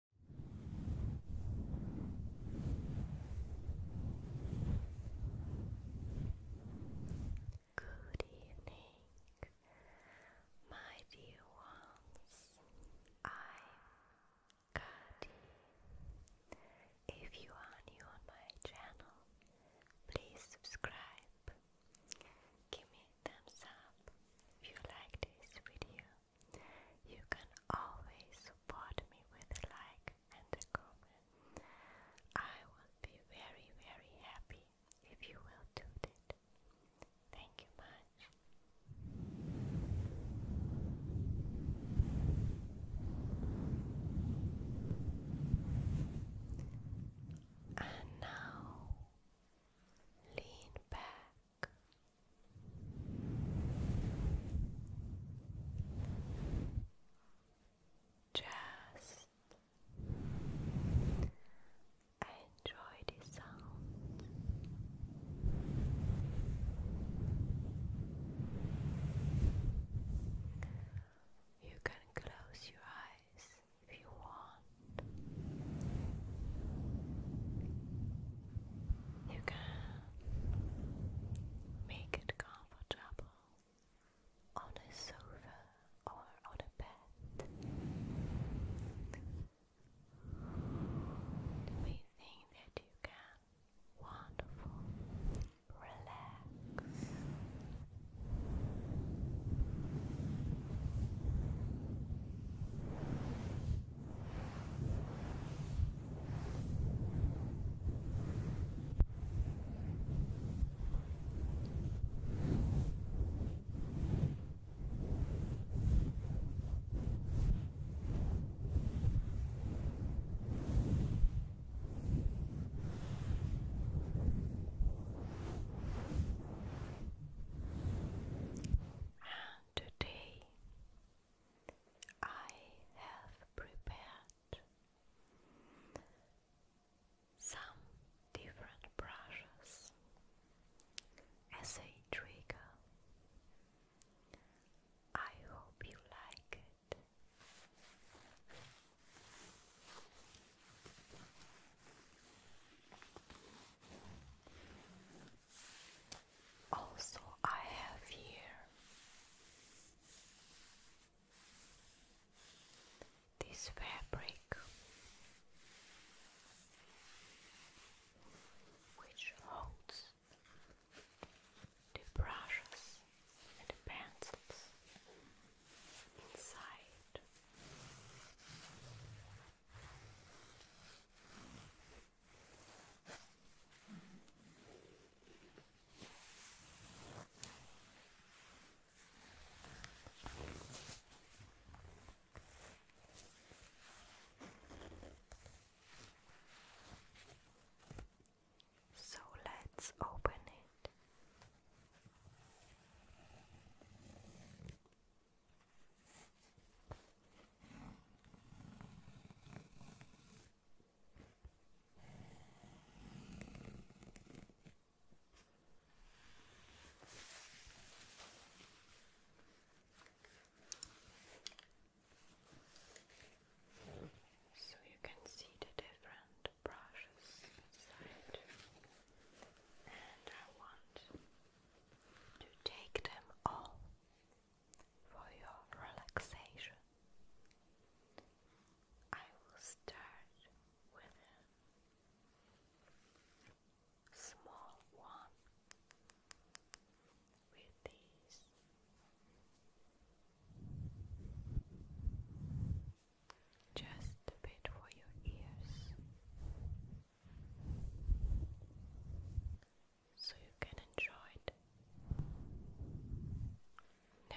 Good evening, my dear ones. I'm Kati. If you are new on my channel, please subscribe. Give me thumbs up if you like this video you can always support me with a like and a comment. I will be very, very happy if you will do that. Thank you much. And now lean back just enjoy the sound. You can close your eyes if you want. You can make it comfortable on a sofa or on a bed. We think that you can wonderful relax. And today I have prepared some different brushes as a trigger. I hope you like it. Also, I have here this fabric which holds the brushes and the pencils inside. So let's open it. So you can see the different brushes inside, and I want to take them all for your relaxation. I will start with a small one with these. Just a bit for your ears so you can enjoy it. Now,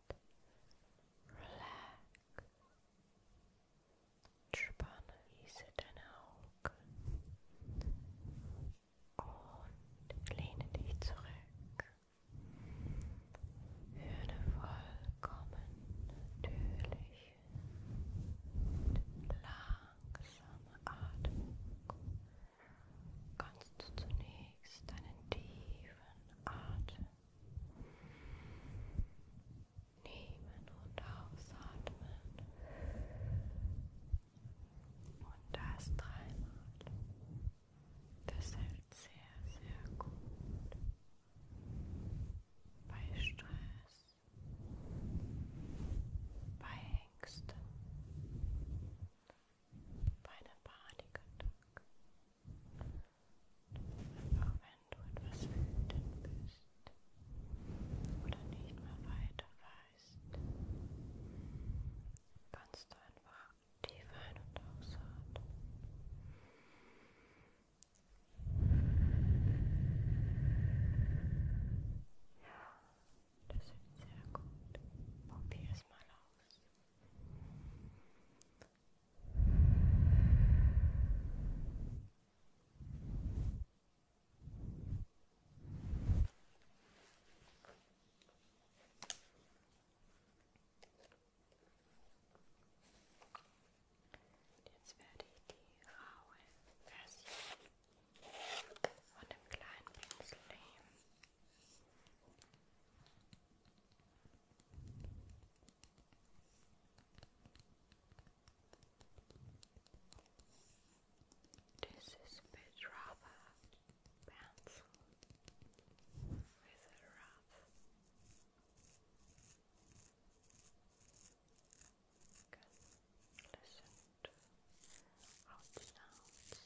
Relax. Spanne diese deine Augen und lehne dich zurück. Für eine vollkommen natürliche und langsame Atmung kannst du zunächst einen tiefen Atem Nehmen und ausatmen. Und das dreimal. Das hält sehr, sehr gut. Bei Stress, bei Ängsten, bei einer Panikattacke. Einfach wenn du etwas wütend bist oder nicht mehr weiter weißt, kannst du einfach tief ein- und ausatmen. Ja, das ist sehr gut. Probier es mal aus. Jetzt werde ich die raue Version von dem kleinen Pinsel nehmen. This is a bit rubber pencil with a rough can listen to how sounds.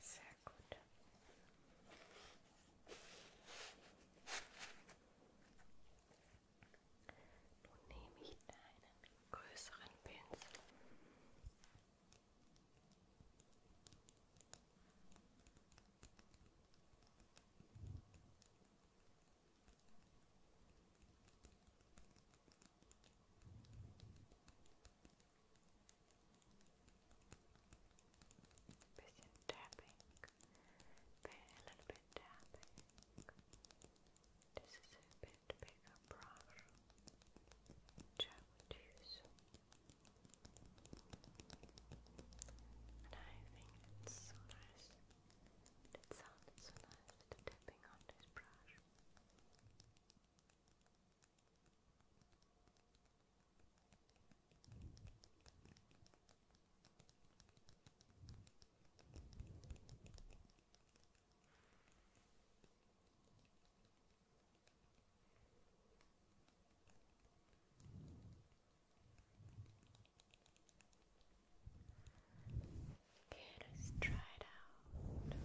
Sehr gut. Nun nehme ich deinen größeren Pinsel. Und Bisschen tapping, a little bit tapping. This is a bit bigger brush, which use, I think it's so nice but it sounded so nice tapping on this brush let's try it out.